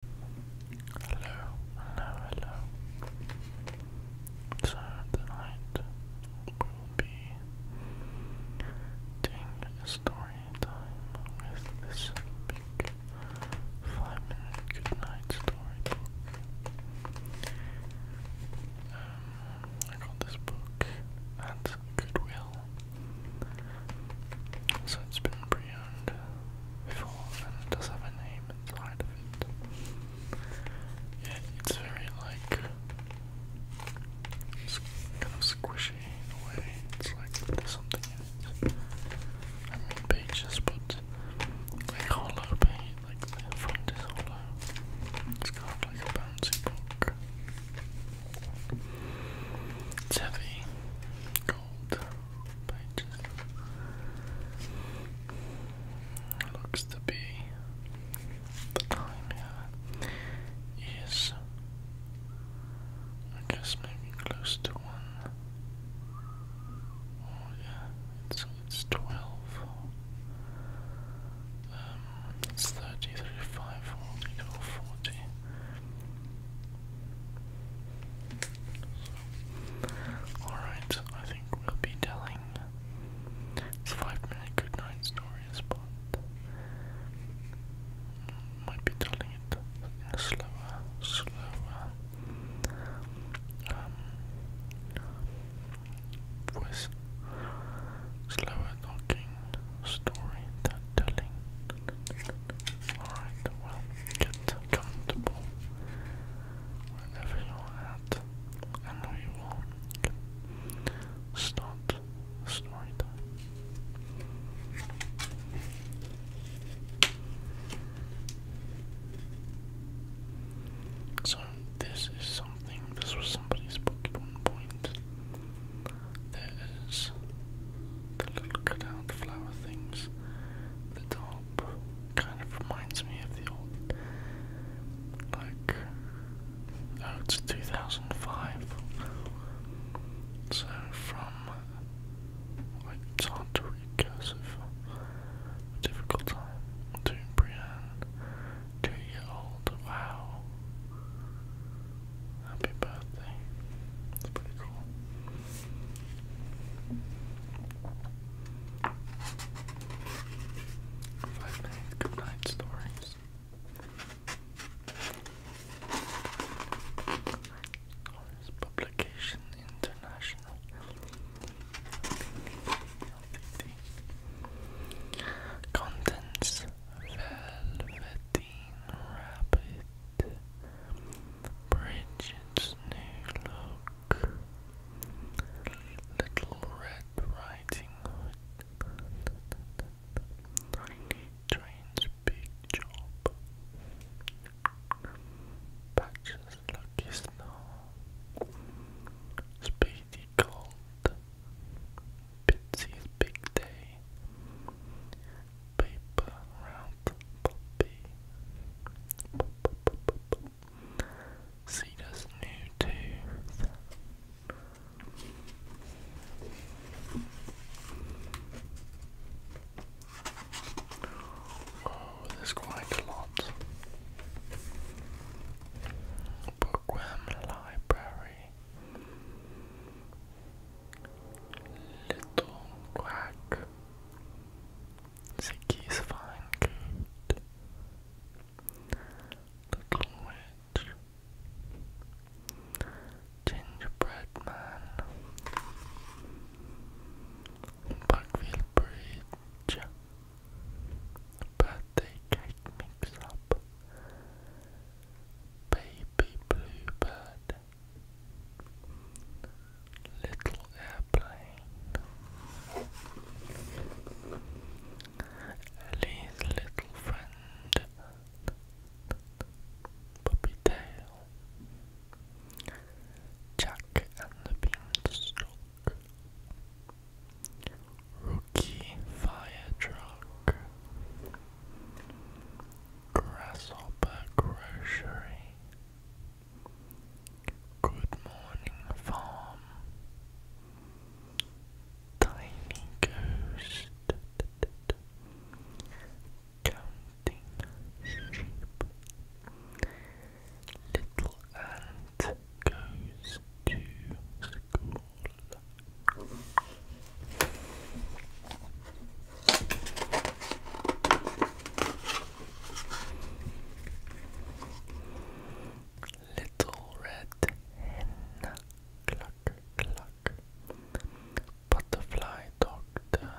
Hello, hello, hello. So tonight will be doing a story time with this big five minute goodnight story book. Um, I got this book at Goodwill. So it's been pre before and it does have a name inside of it. Yeah, it's very like kind of squishy in a way. It's like something I mean pages but like hollow page like the front is hollow. It's kind of like a bouncy book. It's heavy, gold pages. Looks to be the time here is, I guess, maybe close to one. Oh yeah, it's it's twelve. Um, it's 30, 35, 40, so, Alright, I think we'll be telling it's five good night stories, but might be telling it slower, slower um, voice. Slower talking story telling. Alright, well, get comfortable wherever you're at, and we will start the So, this is something, this was somebody's Pokemon point. There is the little cutout flower things. The top kind of reminds me of the old, like, oh, it's 2005. So from, it's hard to read cursive, difficult time, to Brienne, two year old, wow. Happy birthday. That's pretty cool. Five minute stories. Or is International Contents Velveteen Rabbit Bridget's new look. Little Red Riding Hood. Train's big job. Patches Lucky Snow. Speedy Gold. Bitsy's Big Day paper round puppy. Cedar's new tooth. Oh, there's quite a lot. Bookworm Library. Little Quack. Ziggy's fine coat. Little Gingerbread man. Buckfield Bridge. Birthday cake mix up. Baby bluebird. Little airplane. Ellie's little friend. Puppy tail. Jack and the beanstalk. Rookie fire truck. Grasshopper Grocery, Good Morning Farm, Tiny Ghost, Counting Sheep, Little Ant Goes to School. Little red hen, cluck, cluck. Butterfly doctor,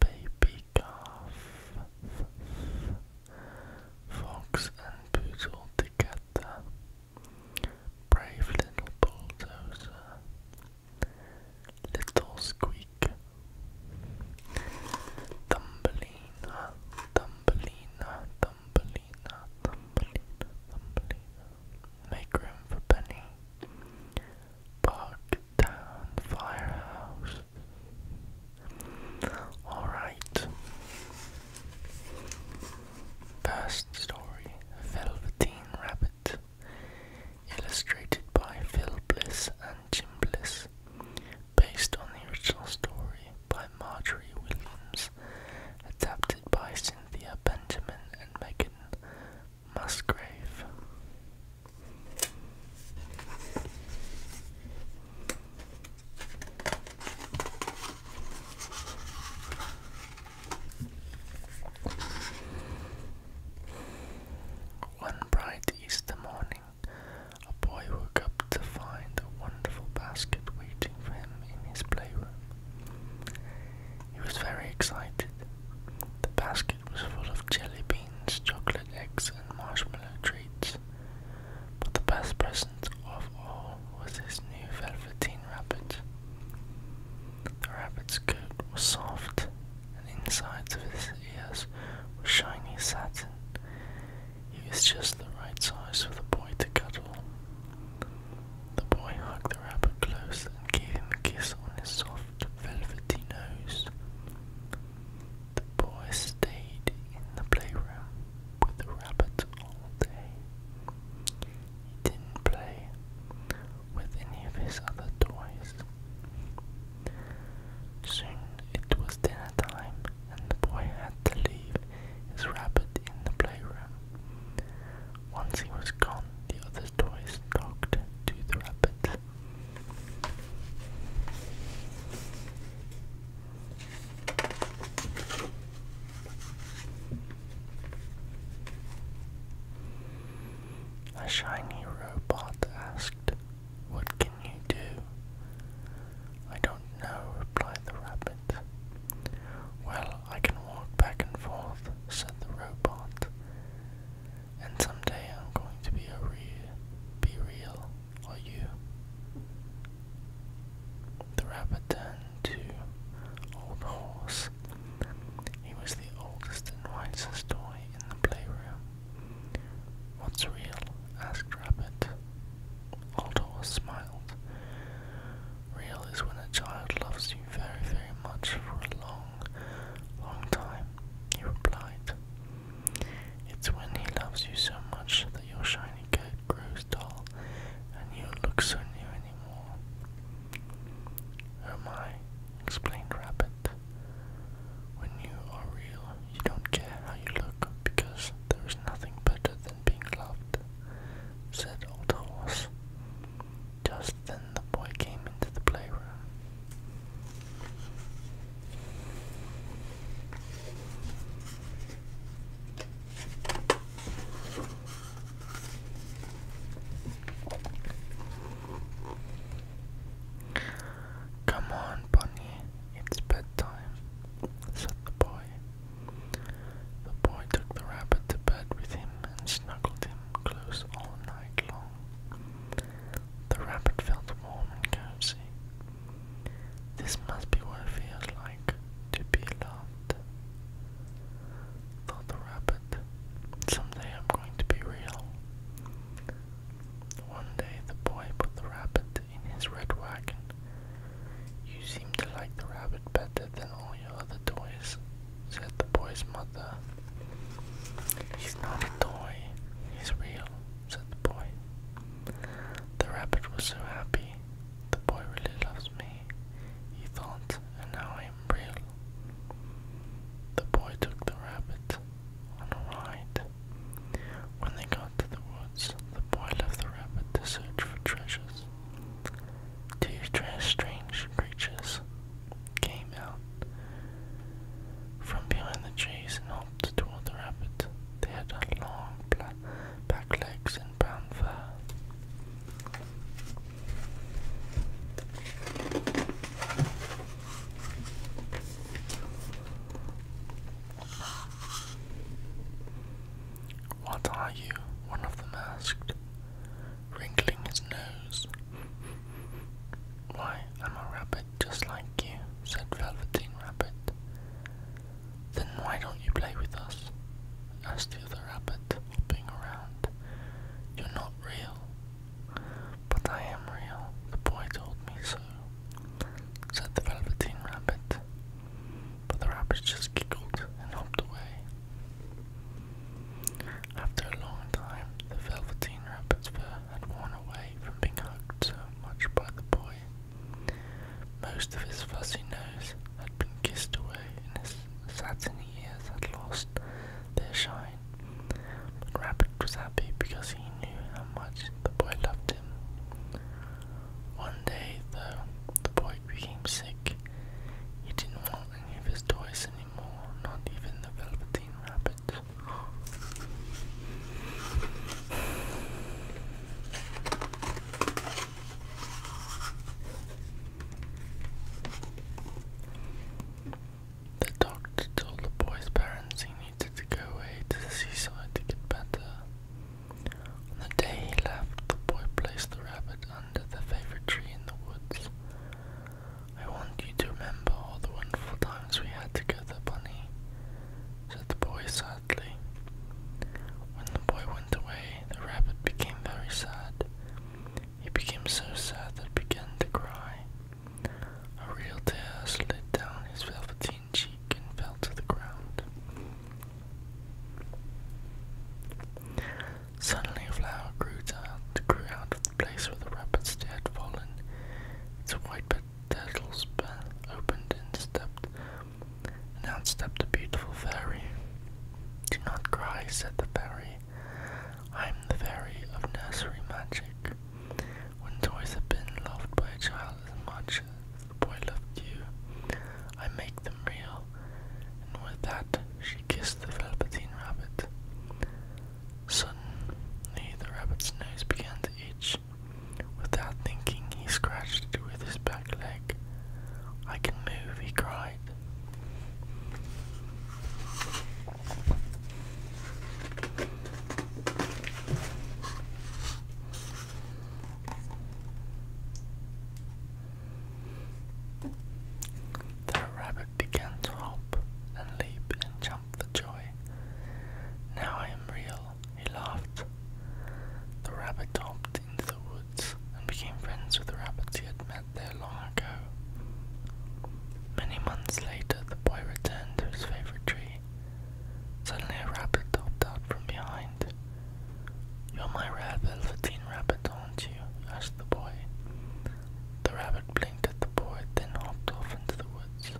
baby calf, fox and poodle together, brave little bulldozer. Little Squeak Thumbelina, Thumbelina, Thumbelina, Thumbelina, Thumbelina Make room for Penny Park Town Firehouse Alright First story Velveteen Rabbit illustrated by Phil Bliss and Jim Bliss, based on the original story by Marjorie Williams, adapted by Cynthia Benjamin and Megan Musgrave. One bright Easter morning, a boy woke up to find a wonderful basket waiting for him in his playroom. He was very excited. The basket was full of jelly beans, chocolate eggs, and marshmallow treats. But the best present of all was his new velveteen rabbit. The rabbit's coat was soft, and the insides of his ears were shiny satin. He was just the right size for the boy to cuddle. The boy hugged the rabbit close and gave him a kiss on his soft, velvety nose. The boy stayed in the playroom with the rabbit all day. He didn't play, with any of his other toys. Soon it was dinner time, and the boy had to leave his rabbit in the playroom. Once he was gone, the other toys talked to the rabbit. A shiny robot asked, What can you do? I don't know, replied the rabbit. Well, I can walk back and forth, said the robot. And someday I'm going to be a real, be real, are you? The rabbit turned to Old Horse he was the oldest and wisest toy in the playroom. What's real? asked Rabbit. Old Horse smiled. Real is when a child loves you very, very much for a long, long time, he replied. It's when he loves you so much that your shiny coat grows dull and you look so new anymore. Hermione explained Rabbit. When you are real, you don't care how you look because there is nothing better than being loved, said Old Horse. Just then the boy came into the playroom. Come on, Bunny, it's bedtime, said the boy. The boy took the rabbit to bed with him and snuggled him close all night long. The rabbit felt warm and cozy. This must be what it feels like to be loved, Thought the rabbit, someday I'm going to be real. One day the boy put the rabbit in his red wagon. You seem to like the rabbit better than all your other toys, said the boy's mother. He's not a toy, he's real, said the boy. The rabbit was so happy. The boy really loves me, he thought, and now I am the boy took the rabbit on a ride. When they got to the woods, the boy left the rabbit to search for treasures. Two strange creatures came out from behind the trees and hopped toward the rabbit. They had long black back legs and brown fur. What are you? One of them asked, wrinkling his nose. Why, I'm a rabbit just like you, said Velveteen Rabbit. Then why don't you play with us? asked the other rabbit being around. You're not real. But I am real. The boy told me so, said the Velveteen Rabbit. But the rabbit just giggled and hopped away. After a long time, the Velveteen Rabbit's fur had worn away from being hugged so much by the boy. Most of his fuzzy nose had been kissed away, in his satiny many years had lost their shine, but Rabbit was happy because he knew how much the boy loved him. One day, though, the boy became sick. He didn't want any of his toys anymore, not even the Velveteen Rabbit. The doctor told the boy's parents he needed to go away to the seaside to get better. On the day he left, the boy placed the rabbit under the favorite tree in the woods. I want you to remember all the wonderful times we had together, Bunny, said the boy sadly. When the boy went away, the rabbit became very sad. He became so sad that he began to cry. A real tear slid down his velveteen cheek and fell to the ground. Suddenly a flower grew out, grew out of the place where the rabbit's tail had fallen. Its white petals opened and stepped, and out stepped a beautiful fairy. Do not cry, said the fairy. I'm the fairy of nursery magic. When toys have been loved by a child as much as the boy loved you, I make them real. And with that, she kissed the velveteen rabbit. Suddenly, the rabbit's nose began to itch. Without thinking, he scratched it with his back leg. I can move, he cried. The rabbit began to hop and leap and jump for joy. Now I am real, he laughed. The rabbit hopped into the woods and became friends with the rabbits he had met there long ago. Many months later, the boy returned to his favorite tree. Suddenly, a rabbit popped out from behind. You're my rare velveteen rabbit, aren't you? asked the boy. The rabbit blinked at the boy, then hopped off into the woods.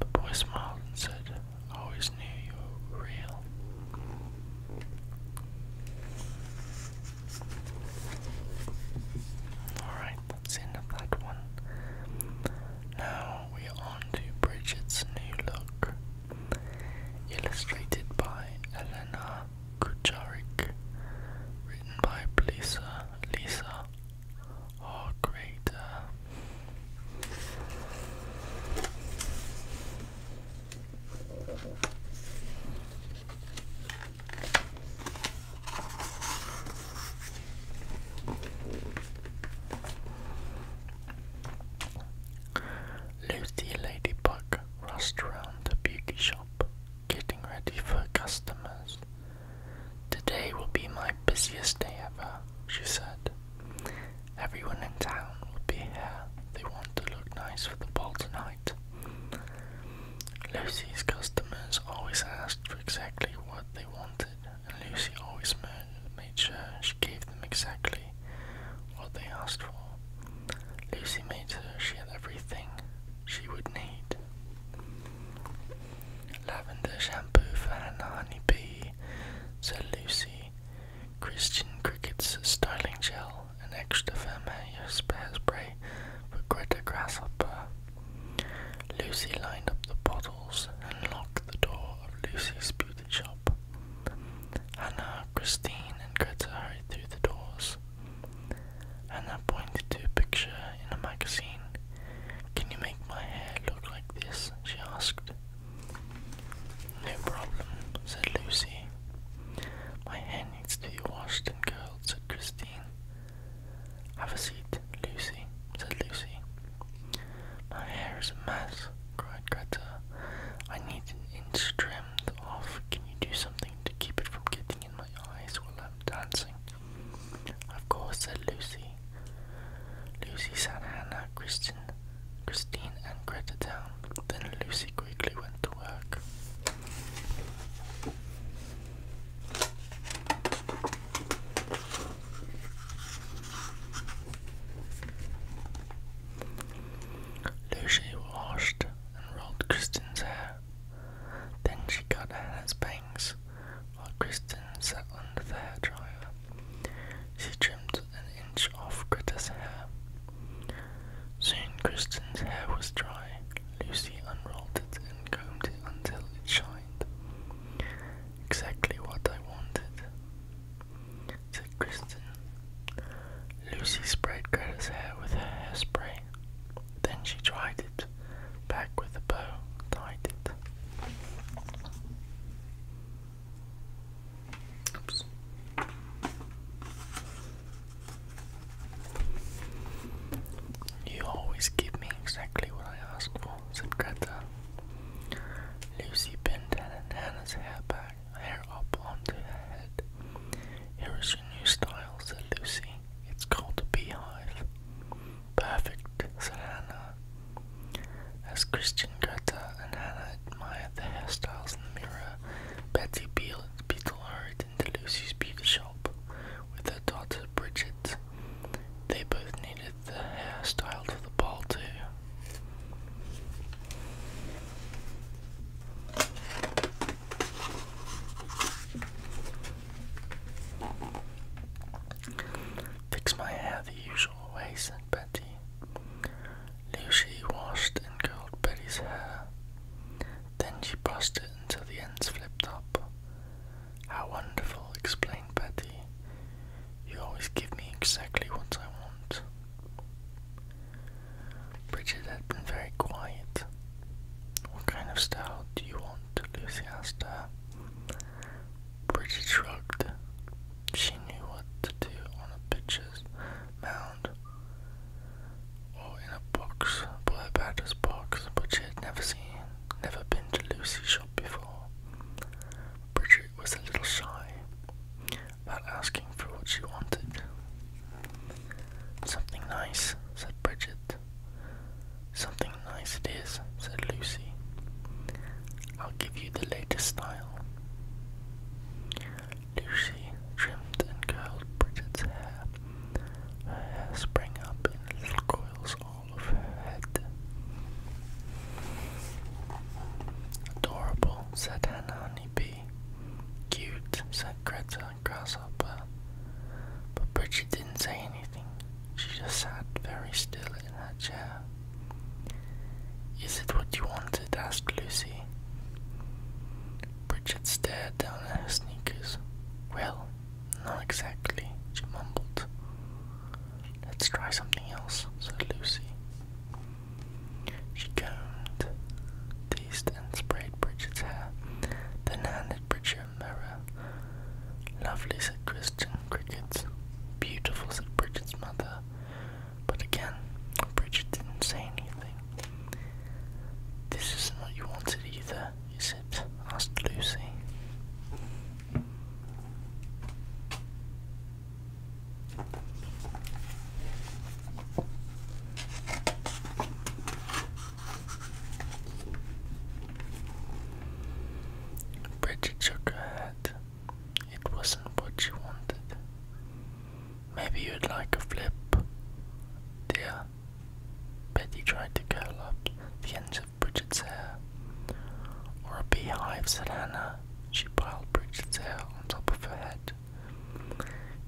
The boy smiled and said, I always knew you were real. Alright, that's end of that one. Now we on to Bridget's New Look, illustrated by Elena Kucharik, written by Lisa, Lisa, our Lucy Ladybug rushed around the beauty shop, getting ready for customers. Today will be my busiest day ever, she said. Everyone in town crown be here. They want to look nice for the ball tonight. Lucy's customers always asked for exactly what they wanted, and Lucy always made sure she gave them exactly what they asked for. Lucy made sure she had everything she would need. Lavender shampoo for honey bee, said Lucy Christian crickets, starling gel, and extra vermeil spare spray for greater grasshopper. Lucy lined up the bottles and locked the door of Lucy's beauty shop. Anna, Christine, and Greta hurried through the doors. Hannah pointed to a picture in a magazine. Can you make my hair look like this? she asked. No problem, said Lucy. My hair needs to be washed and curled, said Christine. Have a seat, Lucy, said Lucy. My hair is a mess, cried Greta. I need an inch trimmed off. Can you do something to keep it from getting in my eyes while I'm dancing? Of course, said Lucy. Lucy, Santa Hannah, Christine. Christine and Greta down. Then Lucy quickly went to work. Lucy washed and rolled Kristen's hair. Then she cut Hannah's bangs while Kristen sat under the hairdryer. She trimmed an inch off Greta's hair. Soon Kristen's hair was dry. Lucy unrolled it and combed it until it shined. Exactly what I wanted, said Kristen. Lucy sprayed Greta's hair with her hairspray. Then she dried it, back with a bow, tied it. You always give me exactly what I ask for, said Greta. Lucy pinned Hannah's hair back, hair up onto her head. Here is your new style, said Lucy. It's called a beehive. Perfect, said Hannah. As Christian Greta and Hannah admired the hairstyles in the mirror, Canada, Betsy Beetlehart and Lucy's beauty shop with her daughter Bridget. They both needed the hairstyle for the ball too. Fix my hair the usual way, said Betty. Lucy washed and curled Betty's hair. Then she brushed it until the ends flipped up. How wonderful, explained Betty. You always give me exactly what I want. Bridget had been very quiet. What kind of style do you want? Lucy asked her. Bridget shrugged. She knew what to do on a pitcher's mound or oh, in a box, but a batter's box, which she had never seen, never been to Lucy's shop before. Bridget was a little shy about asking for what she wanted. Something nice, said Bridget. Something nice it is, said Lucy. I'll give you the latest style. Lucy trimmed and curled Bridget's hair. Her hair sprang up in little coils all over her head. Adorable, said Hannah Honeybee. Cute, said Greta Grasshopper. But Bridget didn't say anything. She just sat very still in her chair. Is it what you wanted? asked Lucy. Bridget stared down at her sneakers. Well, not exactly, she mumbled. Let's try something else, said Lucy. She combed, teased, and sprayed Bridget's hair, then handed Bridget a mirror. Lovely, said Christian Crickets. Beautiful, said Bridget's mother. But again, Bridget didn't say anything. This isn't what you wanted either, is it? asked Lucy. Bridget shook her head it wasn't what you wanted. Maybe you'd like a flip, dear. Betty tried to curl up the ends of Bridget's hair. Or a beehive, said Hannah. She piled Bridget's hair on top of her head.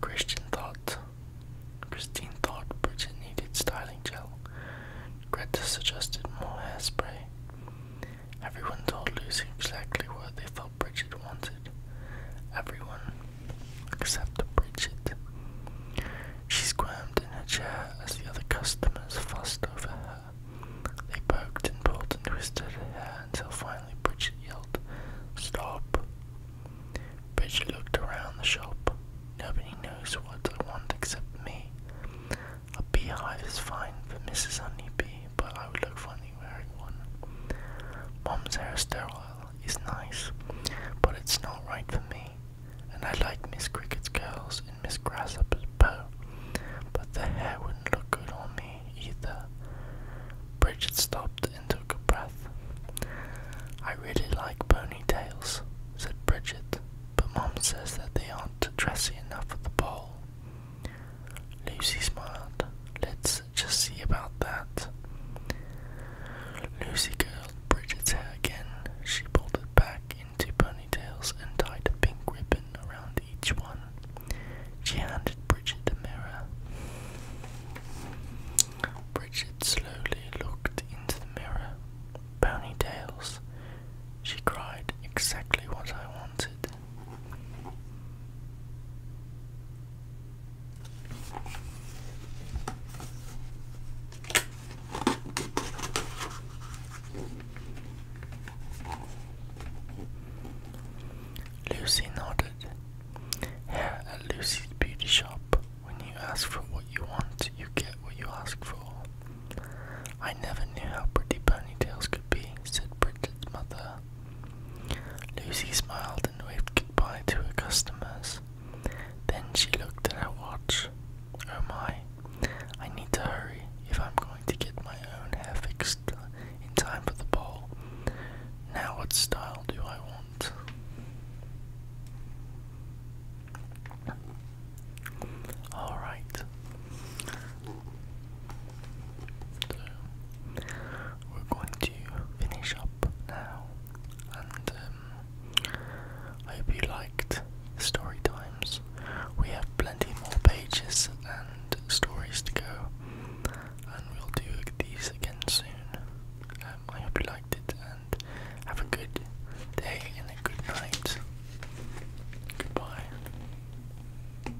Christian thought Christine thought Bridget needed styling gel. Greta suggested more hairspray. Everyone told Lucy exactly what they thought Bridget wanted. Everyone except Bridget. She squirmed in her chair as the other customers fussed over her. They poked and pulled and twisted her until finally Bridget yelled, Stop! Bridget looked around the shop. Nobody knows what I want except me. A beehive is fine for Mrs. Honeybee, but I would look funny. Mom's hairstyle is nice, but it's not right for me, and I like Miss Cricket's curls and Miss Grasshopper's bow, but the hair wouldn't look good on me either. Bridget stopped and took a breath. I really like ponytails, said Bridget, but Mom says that they aren't dressy enough for the ball. Lucy smiled. Let's just see about that. Lucy curled Bridget's hair again. She pulled it back into ponytails and tied a pink ribbon around each one. She handed Bridget the mirror. Bridget slowly looked into the mirror. Ponytails, she cried, exactly what I wanted. Lucy nodded. Here at Lucy's beauty shop, when you ask for what you want, you get what you ask for. I never knew how pretty ponytails could be, said Bridget's mother. Lucy smiled and waved goodbye to her customers. Then she looked at her watch. Oh my, I need to hurry if I'm going to get my own hair fixed in time for the ball. Now, what style do I want? Alright we're going to finish up now, and um, I hope you liked story times. We have plenty more pages and stories to go, and we'll do these again soon. Um, I hope you liked it, and have a good day and a good night. Goodbye.